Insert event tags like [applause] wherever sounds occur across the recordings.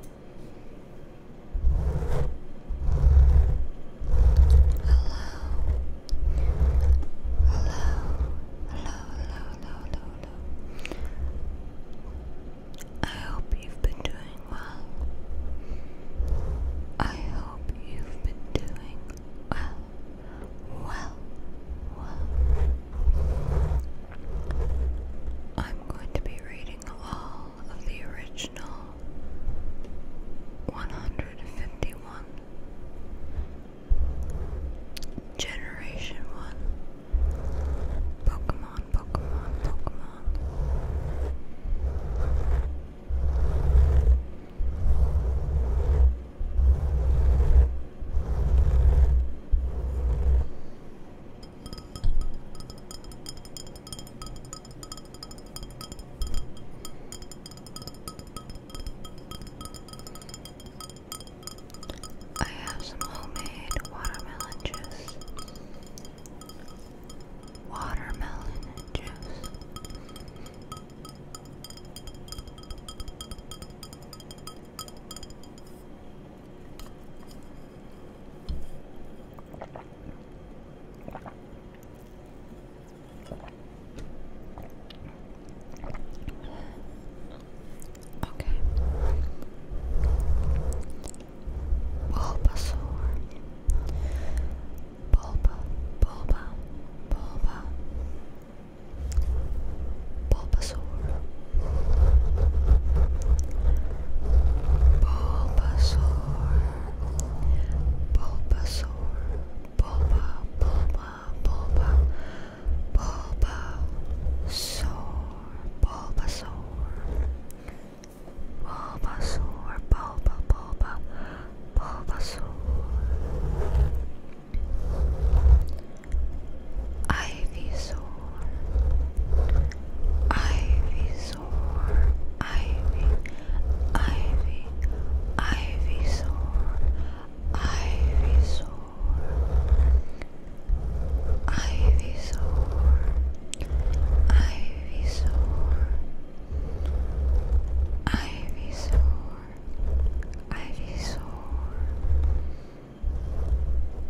hello, hello. I hope you've been doing well. I hope you've been doing well. Well, well. I'm going to be reading all of the original 151. Generation 1 Pokemon, Pokemon, Pokemon. I have some homemade watermelon juice. Watermelon juice. Okay. Bulbasaur. Bulba, Bulba, Bulba. Bulbasaur. Bulbasaur, Bulbasaur, Bulba, Bulba, Bulba, Bulba, Saur, Bulbasaur, Bulbasaur, Bulba, Bulba, Bulbasaur, Ivysaur, Ivysaur so Ivy, Ivy, Ivy sore, Ivy sore, Ivy sore, Ivy sore, Ivy sore, Ivy sore,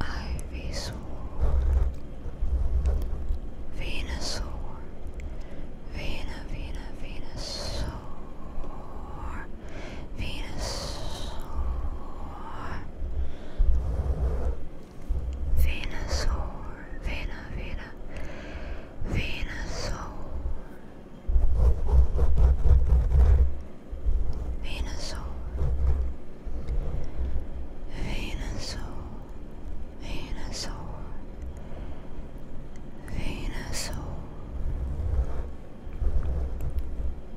Ivy sore. Venusaur, Vena, Vena, Venusaur, Venusaur, Venusaur, Vena, Vena, Venusaur, Venusaur, Venusaur. Venusaur, Venusaur,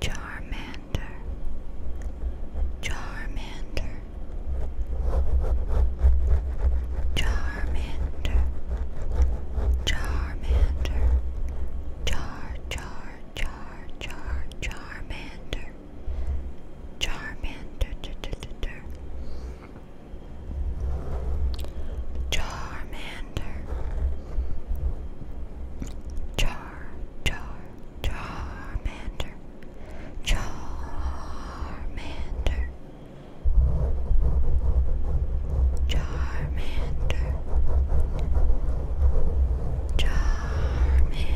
Charmander, Charmander, Charmander, Charmander, Char Char Char Char Charmander. Charmander, Charmander, Char, Char, Charmander, Charmander, Charmander, Charmander. Charmander,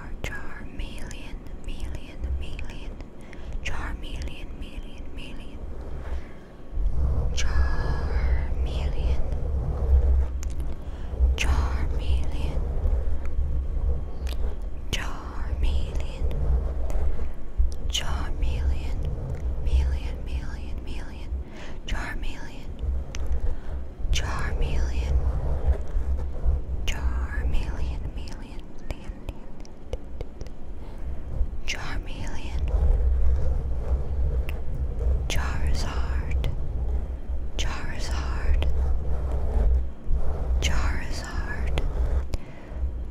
char million million million char million million million char million char million million char million million million million char Charmeleon, Charmeleon, Charizard, Charizard, Charizard,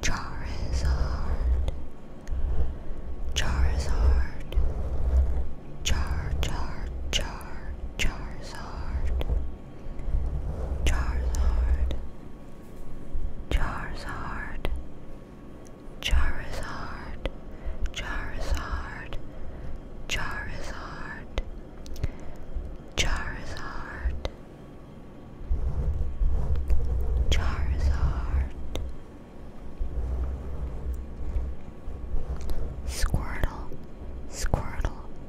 Charizard, Charizard, Char Char Char Charizard. Charizard, Charizard, Charizard, Charizard, Charizard, Charizard, Charizard, Squirtle, Squirtle.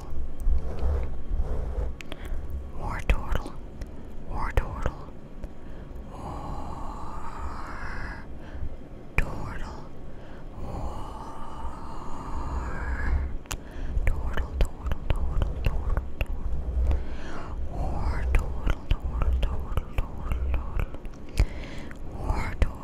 turtle, war turtle, war turtle, war turtle, war turtle, turtle, turtle, turtle, war turtle, turtle, turtle, turtle, turtle, war turtle. War, turtle,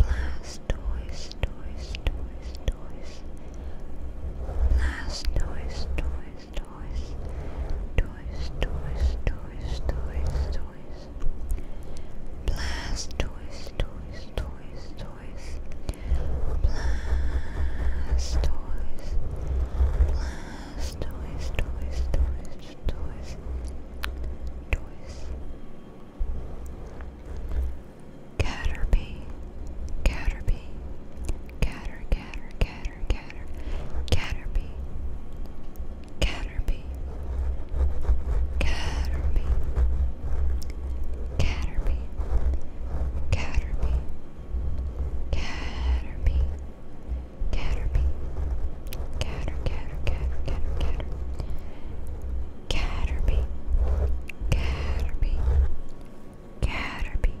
Last toys, toys, toys, toys. Last toys, toys, toys. Toys, toys, toys, toys, toys. Blast toys, toys, toys, toys. Blast toys. Blast toys, toys, toys, toys. Toys. Caterpie, Caterpie, Cater, Cater, Cater, Cater, Caterpie, Caterpie, Caterpie, Caterpie, Caterpie, Caterpie, Caterpie, Cater, Cater, Cater, Cater, Cater. Caterpie, Caterpie, Caterpie,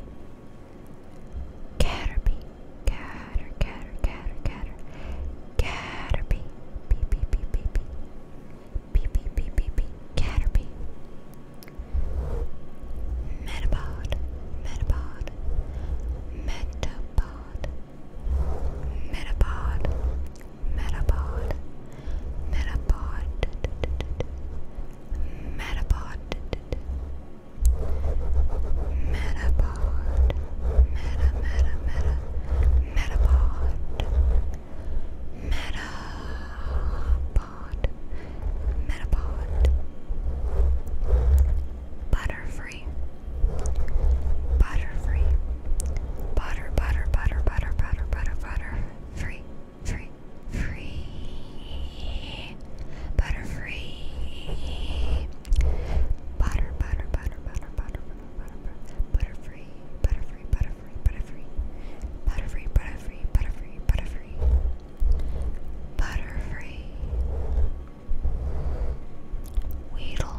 Caterpie, Catter, Catter, Catter, Catter, Caterpie, Beep, Beep, Beep, Beep, Beep, Beep, Beep, Beep, Beep, Caterpie, Metapod, Metapod, Metapod, Metapod. Metapod, Metapod, Metapod, Metapod, Meta, Meta, Meta, Metapod, Metapod, Metapod, Butterfree, Butterfree, Butter, Butter, Butter, Butter, Butter, Butter butter free, free, free, butter free, butter, butter, butter, butter, butter, butter, butter, free, butter free, butter free, butter free, butter free, butter free, butter free, butter free, butter free, Weedle,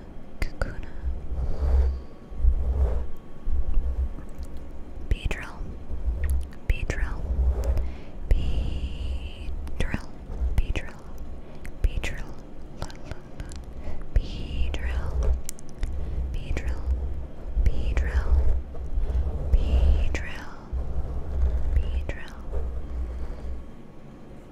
Kakuna, Beedrill, Beedrill, Beedrill, Beedrill, Beedrill, Beedrill, Beedrill, Beedrill, Beedrill, Beedrill.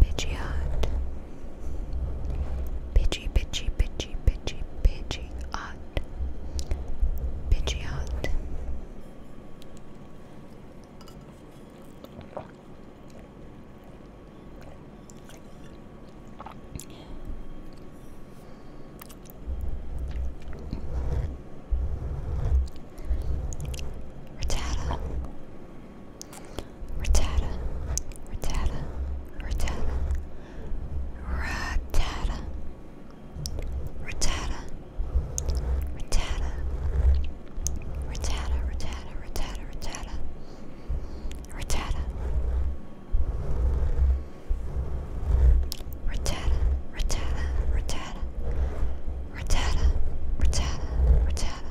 Pidgeot. Pidgey, Pidgey, Pidgey, Pidgey, Pidgeot. Pidgeot. Rattata Rattata, rattata, rattata, rattata, rattata, rattata, rattata, rattata, rattata, rattata, rattata, rattata, rattata, rattata, rattata, rattata, rattata.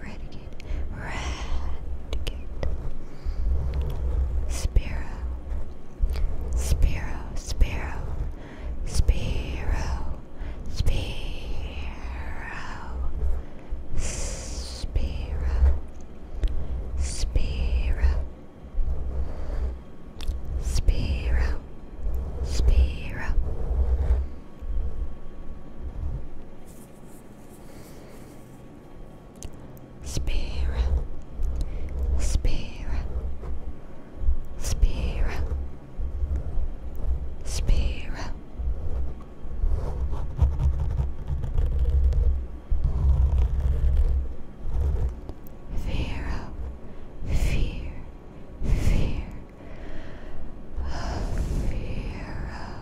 Raticate, Raticate, Spiro, Spiro, Spiro, Spiro, Spiro, Spiro, Spiro, Spiro, Spiro. Spirit, spirit, spirit, spirit. Vera, fear, fear, oh,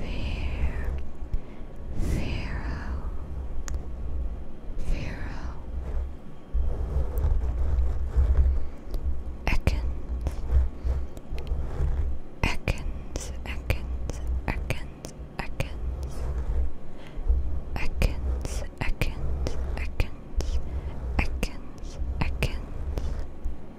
Fear, Ekans, Ekans, Ekans, Ekans, Ekans, Ekans, Ekans, Ekans, Ekans. Ekans,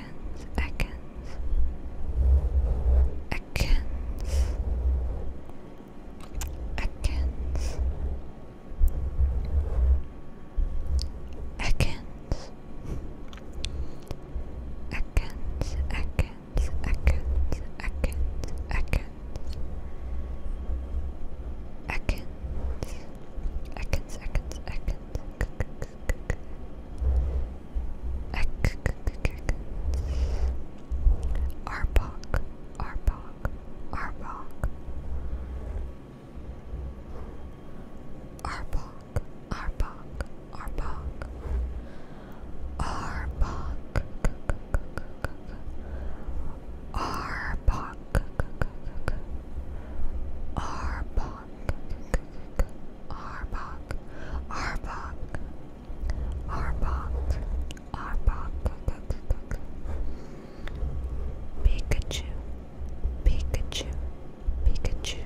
Ekans, Ekans, Ekans, Ekans, Ekans, Ekans, Ekans, Ekans, Ekans, Ekans. Atkins, Atkins, Atkins, Atkins, Arbok, Arbok, Arbok, Arbok, Arbok, Arbok, Arbok, Arbok, Arbok, Arbok, Arbok, Arbok, Arbok, Pikachu, Pikachu, Pikachu,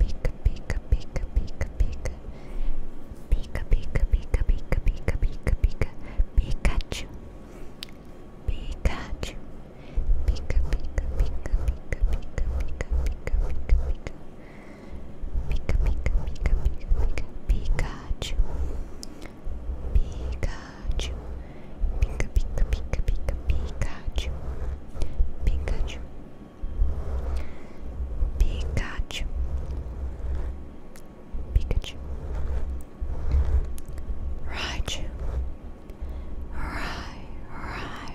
Pika, Pika, Pika, Pika, Pika, Pika, Pika, Pika, Pika, Pika, Pika, Pika, Pikachu, Pikachu, Pika, Pika, Pika, Pika. Pika Pika Pika Pika Pika Pika Pika Pika Pika Pika Pikachu Pikachu Pika Pika Pika Pika Pikachu Pikachu Pikachu Pikachu Raichu Rai Rai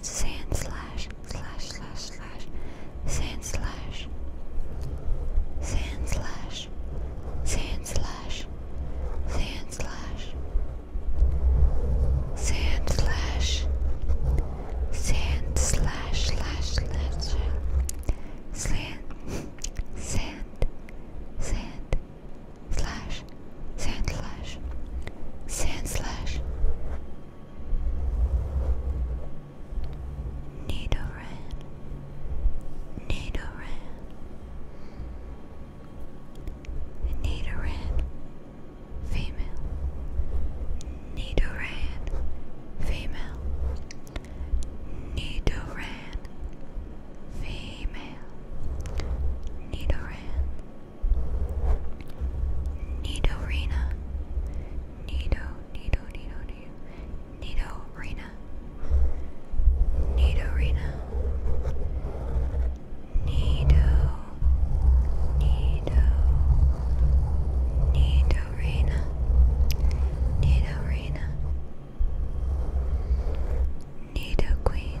sand slash slash slash slash sand slash sand slash sand slash sand slash sand slash sand slash slash slash sand sand sand slash sand slash sand slash Nidoran, Nidoran, Nidoran, female, Nidoran, female, Nidoran, female, Nidoran, Nidorina. Nido, Nido, Nido, Nido. Nidorina. Nidorina. Nido. Nido. Nidorina. Nidorina. Nido Queen.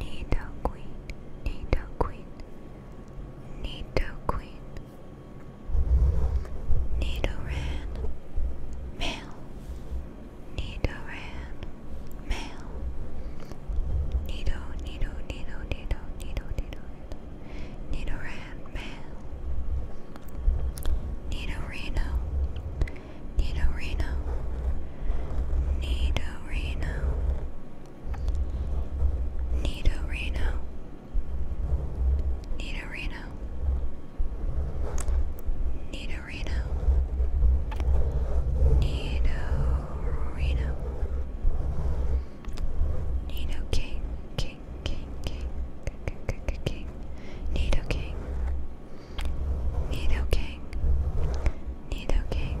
Nidoqueen, Nidoqueen, Nidoqueen, Nidoran, male, Nidoran, male, Nido, Nido, Nido, Nido, Nido, Nido, Nidoran, male, Nidorino, Nidorino, Nidorino. Nito Reno. Nito Reno. Nito Reno. Nito Reno. Nito King. King. King. King. King. King. Nito King. Nido King, Nido King,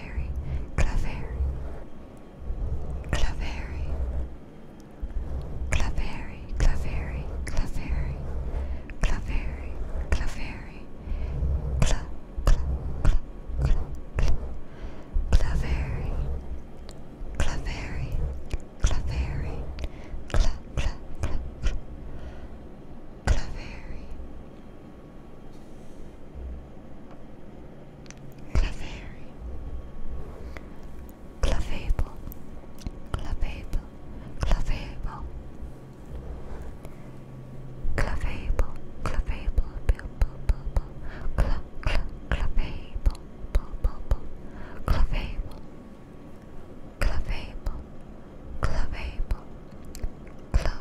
Claveri, Claveri, Claveri, Claveri, Claveri, Claveri, Claveri, Claveri, Cla, Cla, Cla, Cla, Cla, Claveri, Claveri, Claveri, Cla, Cla, Cla, Cla, Claveri. Clavary, clavable, clavable, clavable, clavable, clavable, cla clavable, clavable, clavable, clavable, clavable,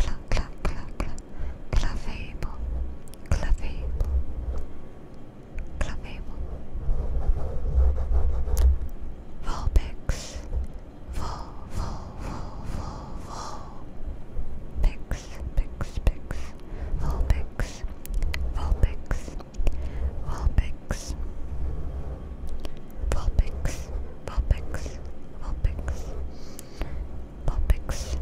Cla cla cla cla clavable, clavable, clavable. Volpix, vol vol vol vol vol. Volpix, volpix, volpix. Vulpix, Vulpix, Vulpix, Vulpix, Vulpix,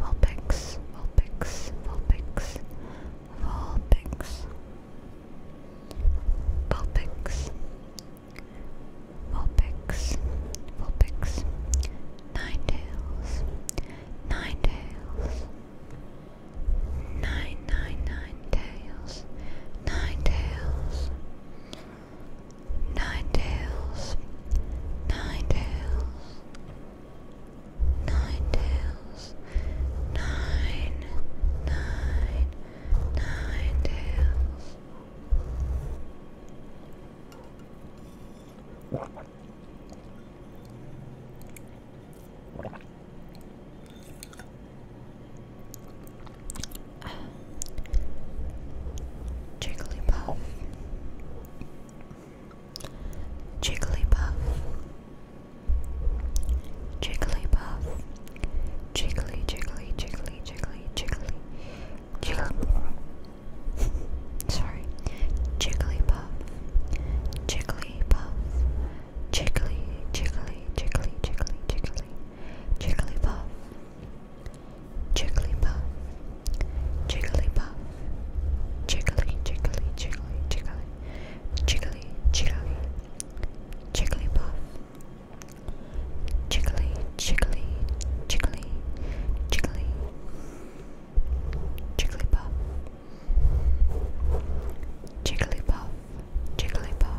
Vulpix, Vulpix, Vulpix, Vulpix, Vulpix, Vulpix, Nine Tails, Nine Tails. Nine, nine, nine tails, nine tails, nine tails, nine tails, nine tails, nine, nine, nine tails. Uh, Jigglypuff. Jigglypuff. Jigglypuff. Jiggly, jiggly, jiggly, jiggly, jiggly. Jiggly. [laughs] Sorry. Jigglypuff. Jigglypuff. Jiggly, jiggly, jiggly, jiggly, jiggly, jigglypuff, jigglypuff, jigglypuff, jiggly, jiggly, jiggly, jiggly, jiggly, jiggly, jigglypuff, jiggly, jiggly, jiggly, jiggly, jigglypuff, jigglypuff, jigglypuff.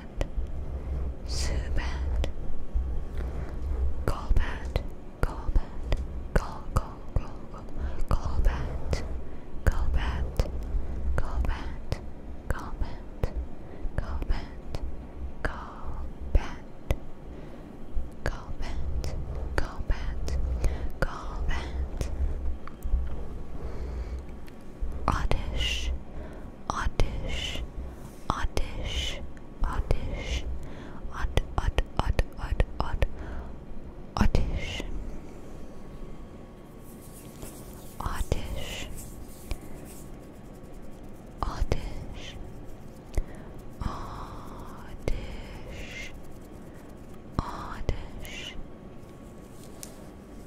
Golbat, Zubat, Golbat, Golbat, Gol Gol Gol Gol Golbat, Golbat, Golbat, Golbat, Golbat, Golbat, Golbat, oddish, oddish, oddish, oddish, odd, odd, odd, odd, odd, oddish, oddish, oddish, oddish, oddish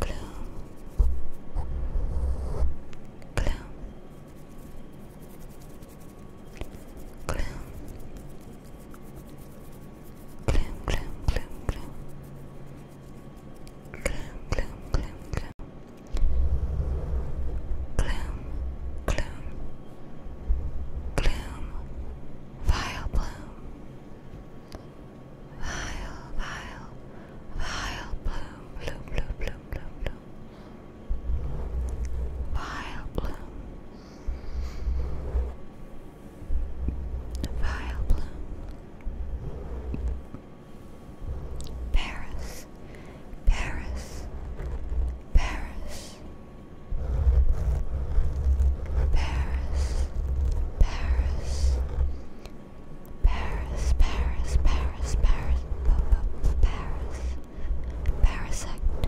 gloom, gloom, gloom, gloom, gloom, gloom, gloom. Gloom, gloom, Vile bloom. Vile, vile, vile bloom, bloom, bloom, bloom, bloom, Vile bloom. Vile bloom. Paris, Paris, Paris. Paris, Paris, Paris, Paris, Paris, Paris, p -p Paris, Parasect,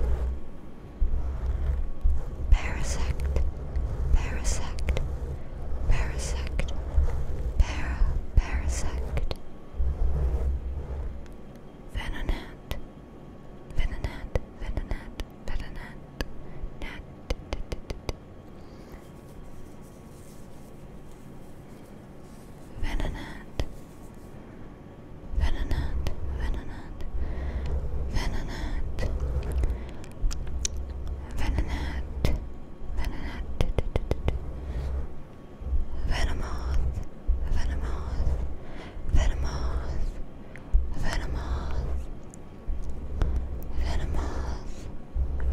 Parasect, Parasect, Parasect, Para, Parasect, Venonat, Venonat, Venonat, Venonat, Nat, Venonat, Venonat, Venonat, Venonat, Venonat, Venonat, Venomoth, Venomoth, Venomoth, Venomoth, Venomoth, Venomoth.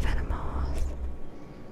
Venomoth,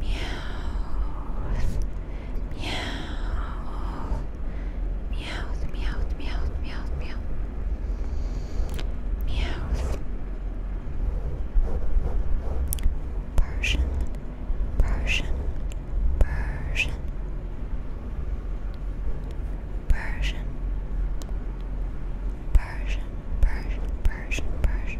Meows. Meows. Meows. Meows. Meows. Meows. Meows. Meows. Persian. Persian. Persian. Persian. Persian. Persian. Persian. Persian.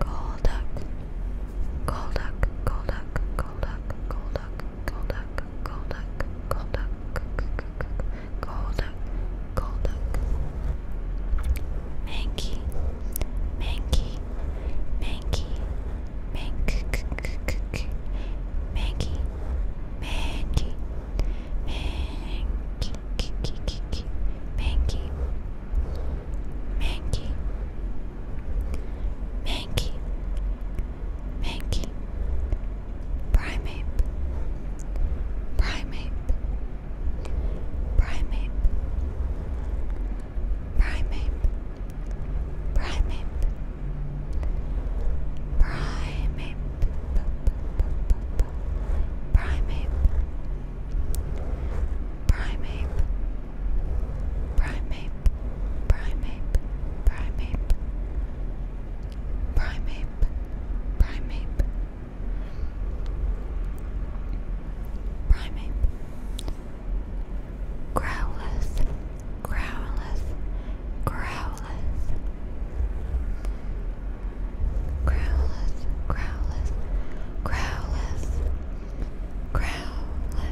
Golduck, Golduck, Golduck, Golduck, Golduck, Golduck, Golduck, Golduck, Golduck, Golduck, Mankey, Mankey, Mankey, Mankey, Mankey, Mankey, Mankey, Mankey, Manky, Manky, Manky, Primate, Primate, Primate, Primate, Primate, Primate, Primeape, primeape, primeape, primeape, primeape, primeape, primeape, growleth, growleth, growleth, growleth, growleth, growleth. Growlers,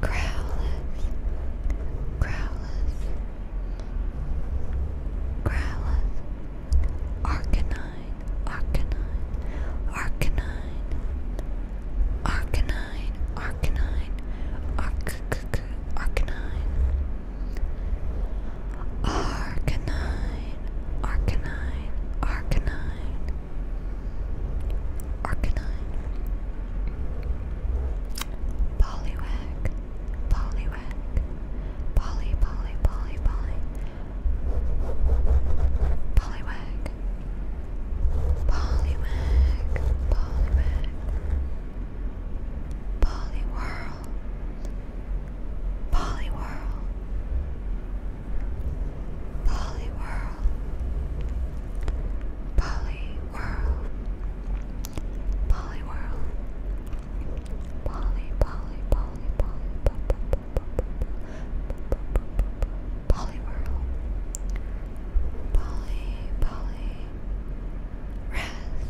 growlers, growlers, growlers, arcanine, arcanine, arcanine, arcanine, arcanine, arc, arcanine, arcanine, arcanine, Arcanine, Poliwag, Poliwag, Poly, Poly, Poly, Poly, Poliwag, Poliwag, Poliwag, Poliwhirl, Poliwhirl, Polyworld, Polyworld, Polyworld, Poly, Poly, Poly, Poly, Polyworld, Poly, Poly, Rest,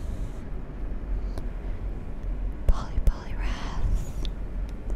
Poly, Poly, Rest.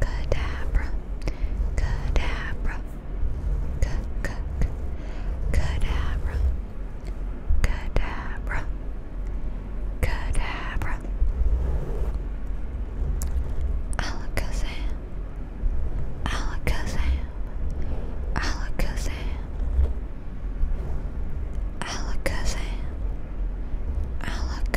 Cadabra, Cadabra, Cadabra, Cadabra, Cadabra, Cadabra, Alakazam, Alakazam, Alakazam, Alakazam, Alakazam. Alakazam,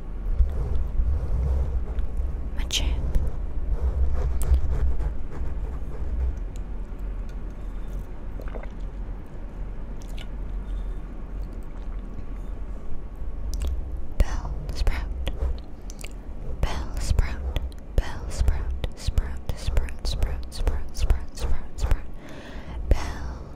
Machamp. Bell sprout, bell sprout, bell sprout, sprout, sprout, sprout, sprout, sprout, sprout, sprout, bell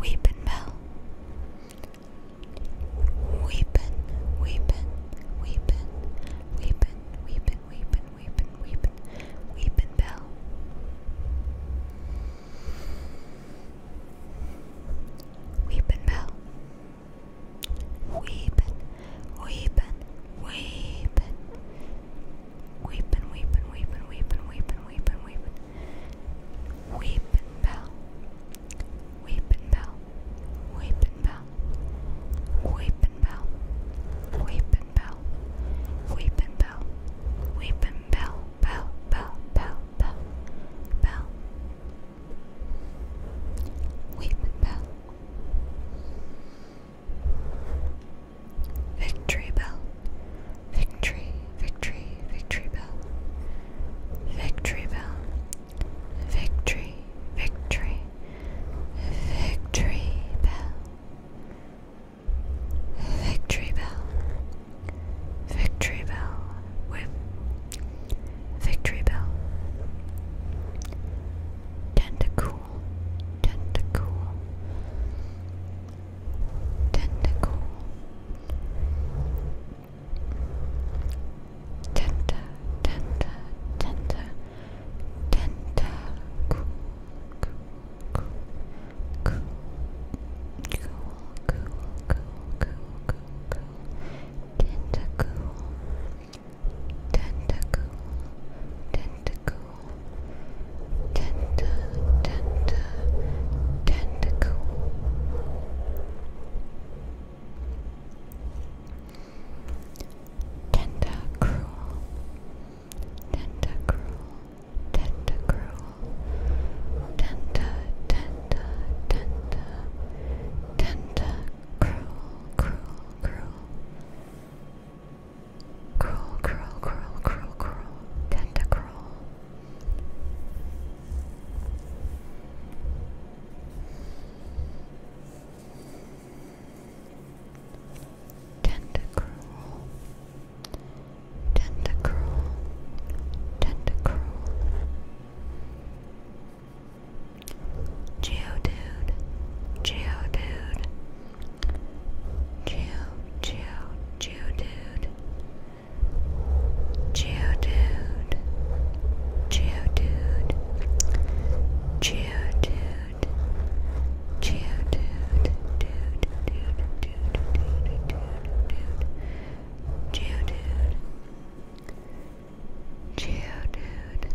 Weepin' Bell. Weepin', weepin', weepin', weepin', weepin', weepin', weepin', weepin', weepin' Bell. Weepin' Bell. Weepin', weepin', weepin', Weepin', weepin', weepin', weepin', weepin', weepin', weepin'. Weepin' bell. Weepin' bell. Weepin' bell. Weepin' bell. Weepin' bell. Weepin' bell. Weepin' bell. Bell, bell, bell, bell. Bell. Weepin' bell. Victory Bell. Victory, victory, victory bell. Victory bell. Victory, victory, victory bell. Victory bell. Victory bell. Whip. Victory bell. Tentacool. Tentacool tentacle, tenta, tenta, tenta, tenta, cool, cool, cool, cool, cool, cool, cool, cool, cool, tentacle, tentacle, tentacle tender, tender tentacle. Tentacruel, tentacruel, tentacruel, tenta, tenta, tenta, tentacruel, cruel, cruel, Curl, curl, curl, curl, curl, tentacruel. Tentacruel. Tentacruel. Tentacruel. Geodude. Geodude. Chill, chill, chill, dude. Chill, dude. Chill, dude. Chill, dude. Chill, dude. Dude, dude, dude, dude, dude, dude. Chill, dude. Chill, dude.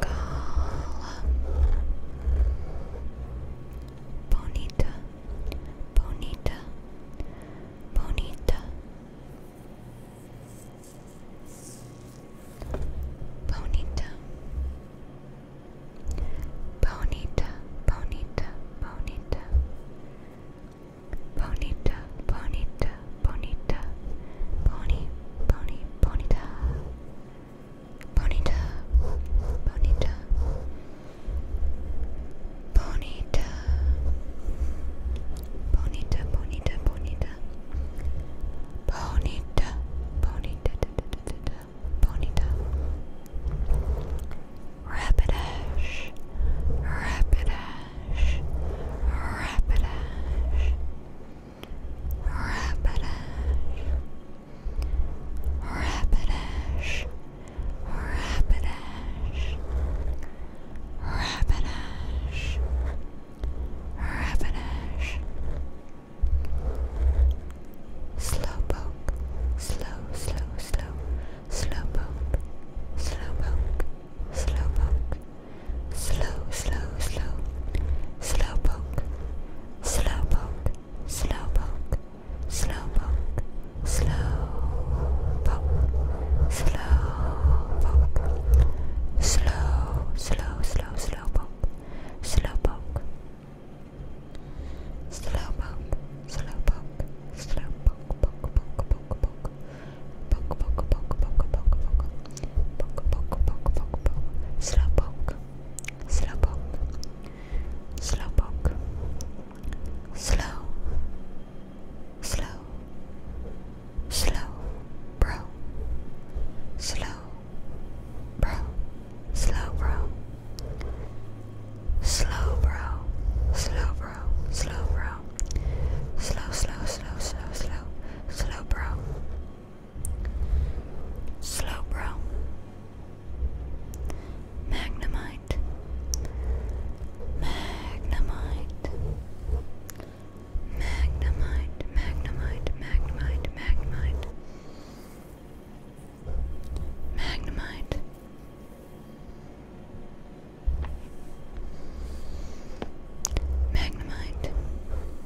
Cala Bonita Bonita Bonita Bonita Bonita Bonita Bonita Bonita Bonita bonita, pony, pony, bonita, bonita, bonita, bonita, bonita, bonita, bonita, bonita, bonita, bonita, rapidash, rapidash, rapidash. Rapidash, Rapidash, Rapidash, Rapidash, Rapidash, Slowpoke, slow, slow, slow, Slowpoke, Slowpoke, Slowpoke slow, slow, slow, slow poke, slow poke, slow poke, slow poke, slow poke, slow poke, slow, slow, slow, slow poke, slow poke, slow poke, slow poke, slow poke, poke, poke, poke, poke. Poke, poke, poke, poke, poke, poke. Poke, poke, poke, poke, poke. Slow poke. Slow poke. Slow poke. Slow. Slow. Slow. Bro. Slow. Bro. Slow, bro. Slow, bro. Slow, bro. Slow, bro. Slow, slow, slow, slow, slow. Slow, bro. Slow bro. Magnemite, Magnemite, Magnemite, Magnemite, Magnemite, Magnemite. Magnemite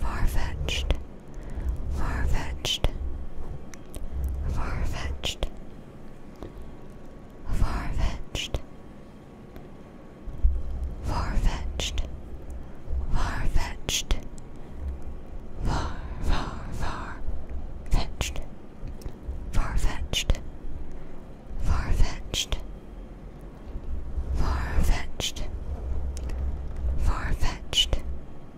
Far-fetched, far-fetched, far-fetched, far-fetched, far-fetched, far-fetched, far, far, far, fetched, far-fetched, far-fetched, far-fetched, far-fetched. Far-fetched,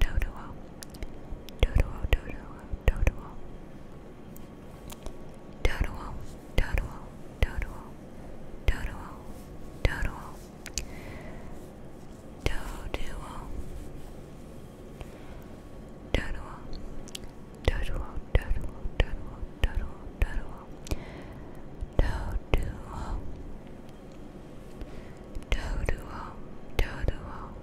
Doduo, Doduo, Doduo, Doduo, Doduo, Doduo, Doduo, Doduo, Doduo, Doduo, Doduo, Doduo, Doduo, Doduo, Doduo, Doduo, Doduo, Doduo, Doduo,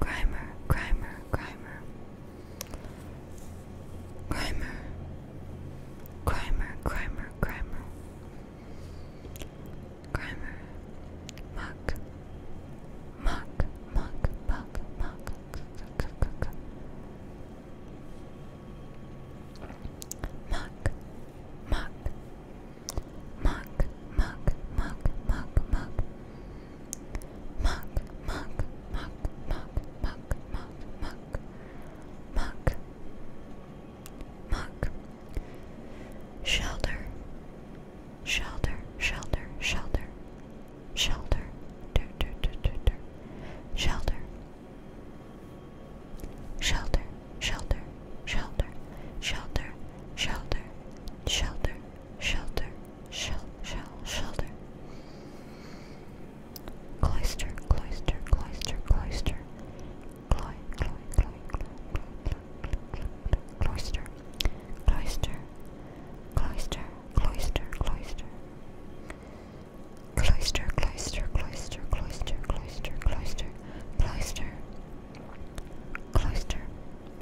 Grimer, Grimer, Grimer. Grimer. Grimer, Grimer, Grimer. Grimer. Muck. Muck, muck, muck, muck. Muck, muck, Muck, muck, muck, muck, muck. Muck, muck, muck, muck, muck, muck, muck. Muck. Muck. Shelter. Shelter, shelter, shelter. Shelter. Dur, dur, dur, dur, dur. Shelter. Shelter, shelter, shelter, shelter, shelter, shelter, shelter, shelter, shell, shelter. Cloister, cloister, cloister, cloister. Cloy, cloy, cloy, cloy, cloister, cloister. Cloister, cloister, cloister, cloister, cloister, cloister, cloister, cloister,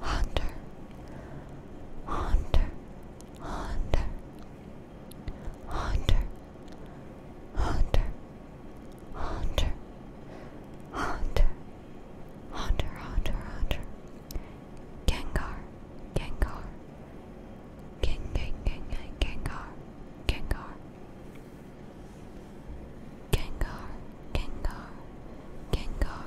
Hunter, Hunter, Hunter, Hunter, Hunter, Hunter, Hunter, Hunter, Hunter, Hunter, Gengar, Gengar, King, King, King, Gengar, Gengar. Gengar, Gengar, Gengar,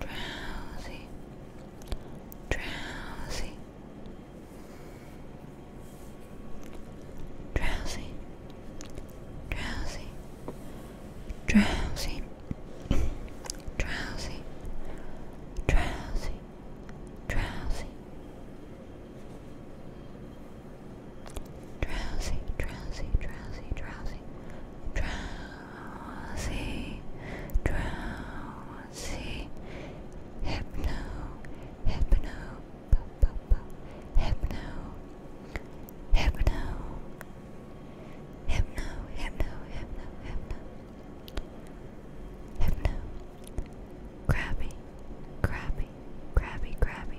drowsy, drowsy, drowsy, drowsy, drowsy, drowsy, drowsy, drowsy. Drowsy, drowsy, drowsy, drowsy, drowsy, drowsy, drowsy, hypno, hypno, pop, pop, pop, hypno, hypno, hypno, hypno, hypno, hypno, hypno, crabby, crabby, crabby, crabby.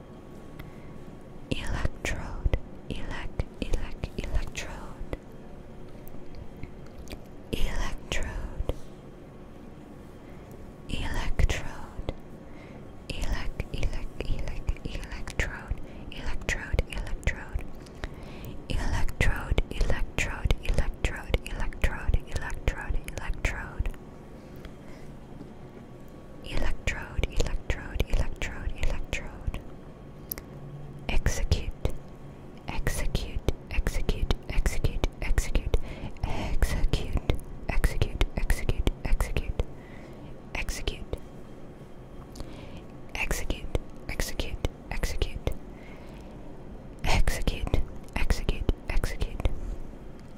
electrode, elect, elect, electrode, electrode, electrode, elect, elect, elect, electrode, electrode, electrode, electrode, electrode, electrode, electrode, electrode, electrode. Electrode, electrode, electrode, electrode. Execute, execute, execute, execute, execute, execute, execute, execute, execute, execute, execute, execute, execute, execute, execute, execute,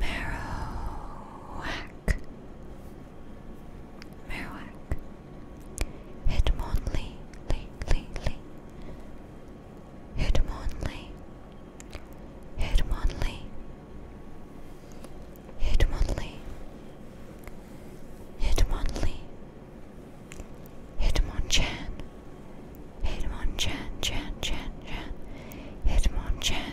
Marowak, Marowak, Hitmonlee, Lee, Lee, Lee, Hitmonlee, Hitmonlee, Hitmonlee, Hitmonlee, Hitmonchan, Hitmonchan, Chan, Chan, Chan, Hitmonchan.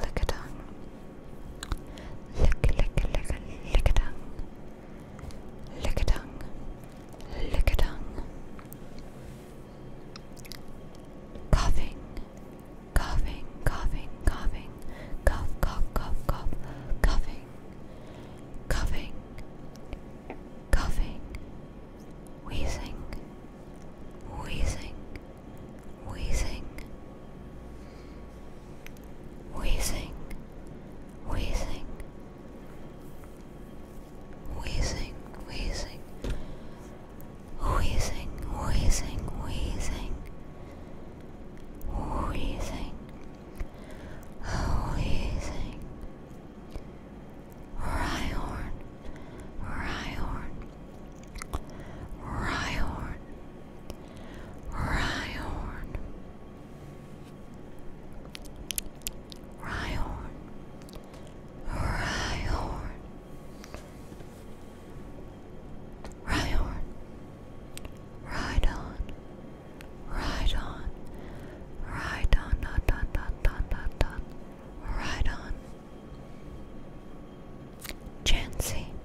Lick a tongue. Lick, lick, lick, lick a tongue. Lick a tongue. Lick a tongue. Coughing. Coughing, coughing, coughing. Cough, cough, cough, cough. Coughing. Coughing. Coughing. Wheezing. Wheezing. Wheezing wheezing, wheezing, wheezing, wheezing, wheezing, wheezing, wheezing, wheezing, Rhyhorn, Rhyhorn, Rhyhorn, Rhyhorn. Rhyhorn. Rhyhorn. Rhyhorn. Ride on. Ride on. Ride on. Dot, dot, dot, dot, dot, dot. Ride on. Chancy.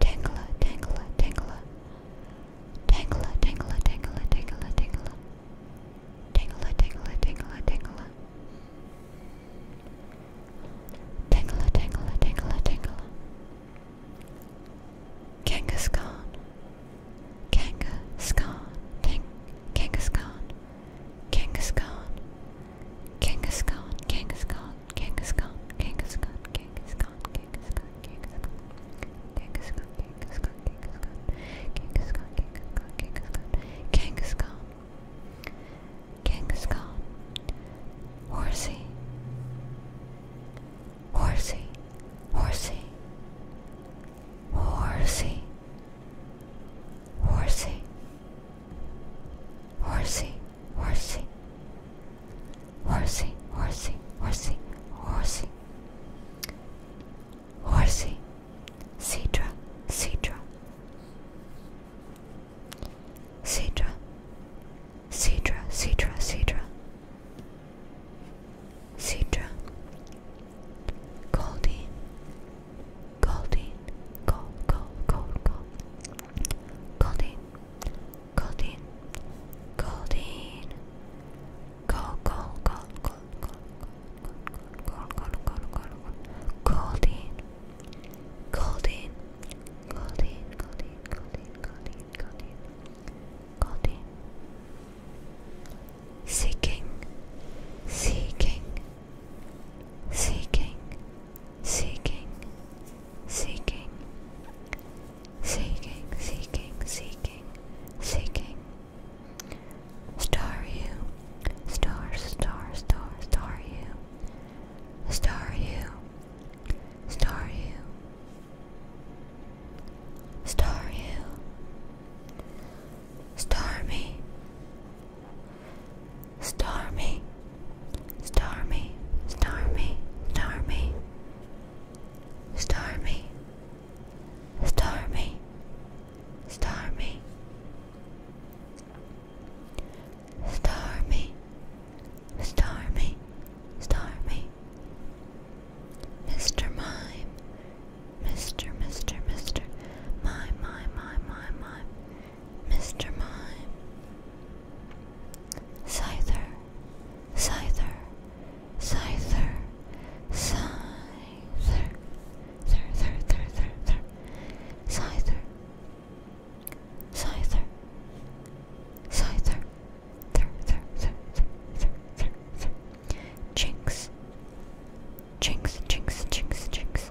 Tangler, tangler, tangler. Tangler, tangler, tangler, tangler, tangler. Tangler, tangler, tangler, tangler. Tangler, tangler, tangler, tangler. Kangaskhan. Kangaskhan. Tank Kangaskhan. Kangaskhan. Kangaskhan, Kangaskhan, Kangaskhan, Kangaskhan, Kangaskhan, Kangaskhan, Kangaskhan, Kangaskhan, Kangaskhan, Kangaskhan, Kangaskhan, Kangaskhan, Kangaskhan, Horsey, Horsey, Horsey, Horsey, Horsey, Horsey horsey, horsey, horsey, horsey, horsey, horsey, cedra, cedra, cedra, cedra, cedra, cedra, cedra, goldie, goldie, gold, gold, gold, gold. Goldine, Goldine, Goldine, Gold, Gold, Gold, Gold, Gold, Gold, Gold, Gold, Gold, Gold, Goldine, Goldine, Goldine, Goldine, Goldine, Goldine, Goldine, Goldine. Seeking, seeking, seeking seeking, seeking, seeking, seeking, seeking, seeking. Star you, star, star, star, star you, star you, star you. Star you, star me, star me, Stormy, stormy, stormy, stormy, stormy, stormy, stormy, stormy, stormy. Mr. Mime, Mr. Mr. Mr. Mime, Mime, Mime, Mime, Mime. Mr. Mime, Scyther, Scyther, Scyther, Scyther, Scyther, Scyther, Scyther, Scyther, Scyther, Scyther, Scyther, Scyther, Scyther, Jinx, Jinx, Jinx, Jinx, Jinx.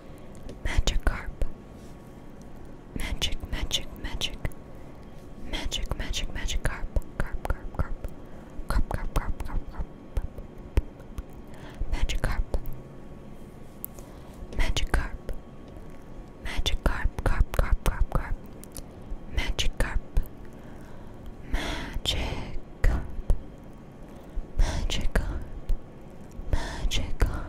Magikarp. Magic, magic, magic. Magic, magic, magic carp. Carp, carp, carp. Carp, carp, carp, carp, carp. Magikarp. Magikarp. Magikarp, carp, carp, carp, carp. Magikarp. Magikarp. Magikarp. Magikarp. Magikarp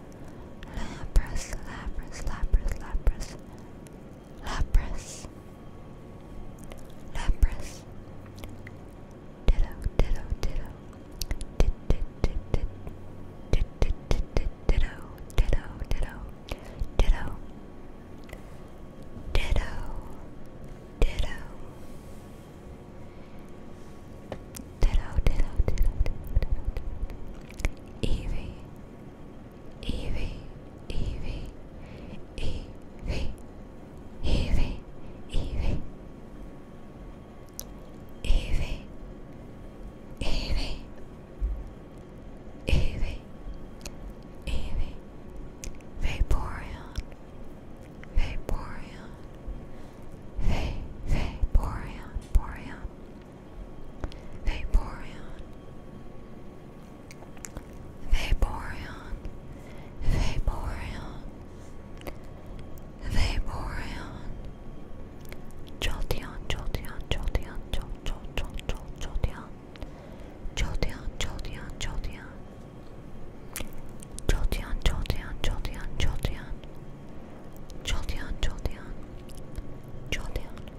Lapras, Lapras, Lapras, Lapras, Lapras, Lapras, Ditto, Ditto, Ditto, Dit, Dit, Dit, Dit, Dit, Dit, Dit, Dit, Ditto, Ditto, Ditto, Ditto, Ditto, Ditto. Ditto, ditto, ditto, ditto, ditto, ditto. Eevee, Evie, Evie, Evie, Evie, Evie, Evie, Evie, Evie, Evie, Vaporeon, Vaporeon, Vaporeon, Boreon, Vaporeon Vaporeon Vaporeon Vaporeon Jolteon Jolteon Jolteon Jol Jol Jol Jol Jolteon Jolteon Jolteon Jolteon Jolteon Jolteon Jolteon Jolteon Jolteon Jolteon Jolteon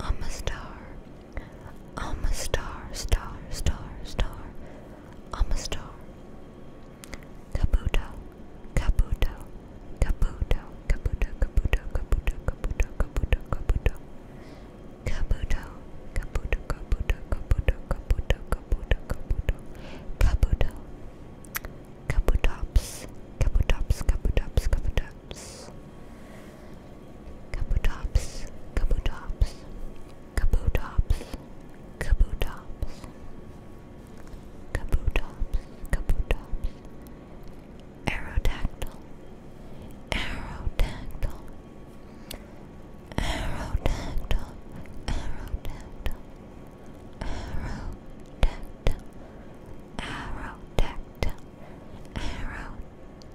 I'm a star. I'm a star, star, star, star. I'm a star. Kabuto, kabuto, kabuto, kabuto, kabuto, kabuto, kabuto, kabuto, kabuto. Kabuto, kabuto, kabuto, kabuto, kabuto, kabuto, kabuto. Kabuto. Kabutops, kabutops, kabutops, kabuto, Kabutops. Kabutops. Kabutops. Kabutops. Kabutops. Kabutops. Kabutops. Aerodactyl. Aerodactyl. Aerodactyl. Aerodactyl. Aerodactyl. Arrow tactile. Arrow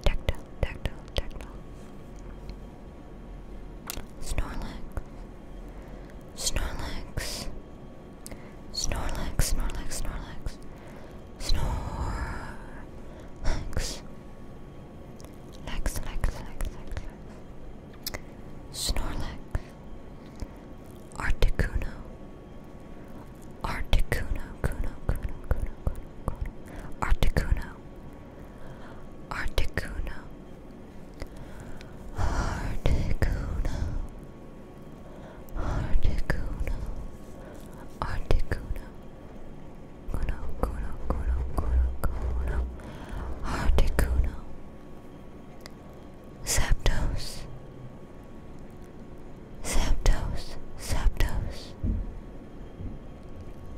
tactile, tactile, Snorlax. Snorlax. Snorlax, Snorlax, Snorlax. Snorlax. Lex, Lex, Lex, Lex, Lex. Snorlax. Articuno. Articuno, Kuno, Kuno, Kuno, Kuno, Kuno, Articuno, Articuno, Articuno, Articuno, Articuno, Kuno, Kuno, Kuno, Kuno, Kuno, Articuno. Zapdos, Zapdos, Zapdos,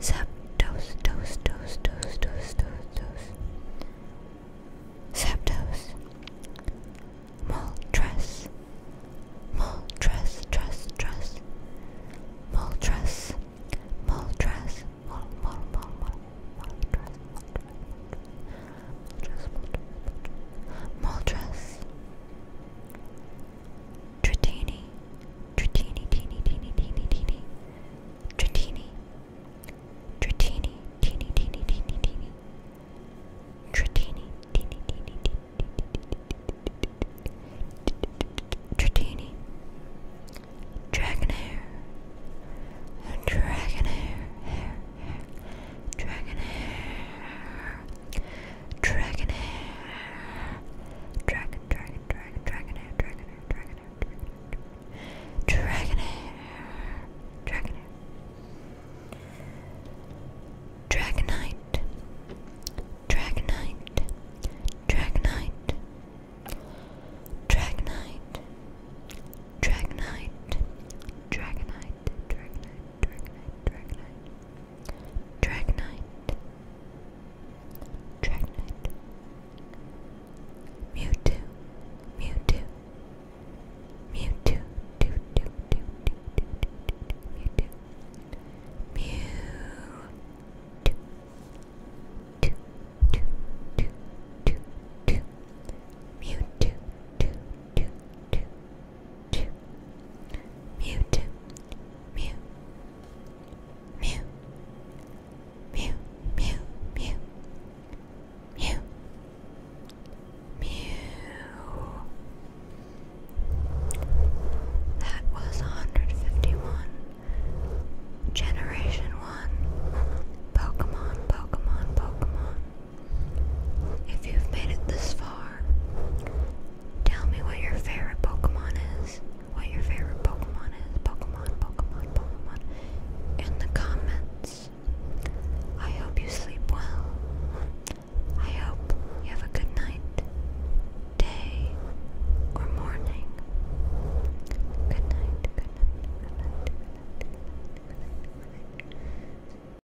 Zapdos, dos, dos, dos, dos, dos, dos, Zapdos, Moltres, Moltres, Tress, Tress, Moltres, Moltres, Mol, Mol, Mol, Mol, Moltres, Moltres, Moltres, Moltres, Moltres. Tritini. Tritini, teeny, teeny, teeny, teeny. Tritini. Tritini, teeny, teeny, teeny, teeny. Tritini, teeny, teeny, teeny. Tritini. Dragonair. Dragonair. Hair dragon hair, dragon hair, dragon, dragon, dragon, dragon hair, dragon hair, dragon hair, dragon hair, dragon hair, dragon hair, dragonite, dragonite, dragonite, dragonite. Dragonite, Dragonite, Dragonite, Dragonite, Dragonite, Dragonite, Dragonite, Dragonite, Mewtwo, Mewtwo, Mewtwo, do do do do do Mewtwo, Mewtwo, do do do do do Mewtwo, Mewtwo, Mewtwo, Mew, Mew, Mew, Mew, Mew, Mew, Mew. That was 151. Generation 1. Pokemon, Pokemon, Pokemon. If you've made it this far, tell me what your favorite Pokemon is. What your favorite Pokemon is. Pokemon, Pokemon, Pokemon. In the comments. I hope you sleep well. I hope you have a good night, day, or morning. Good night, good night, good night, good night, good night,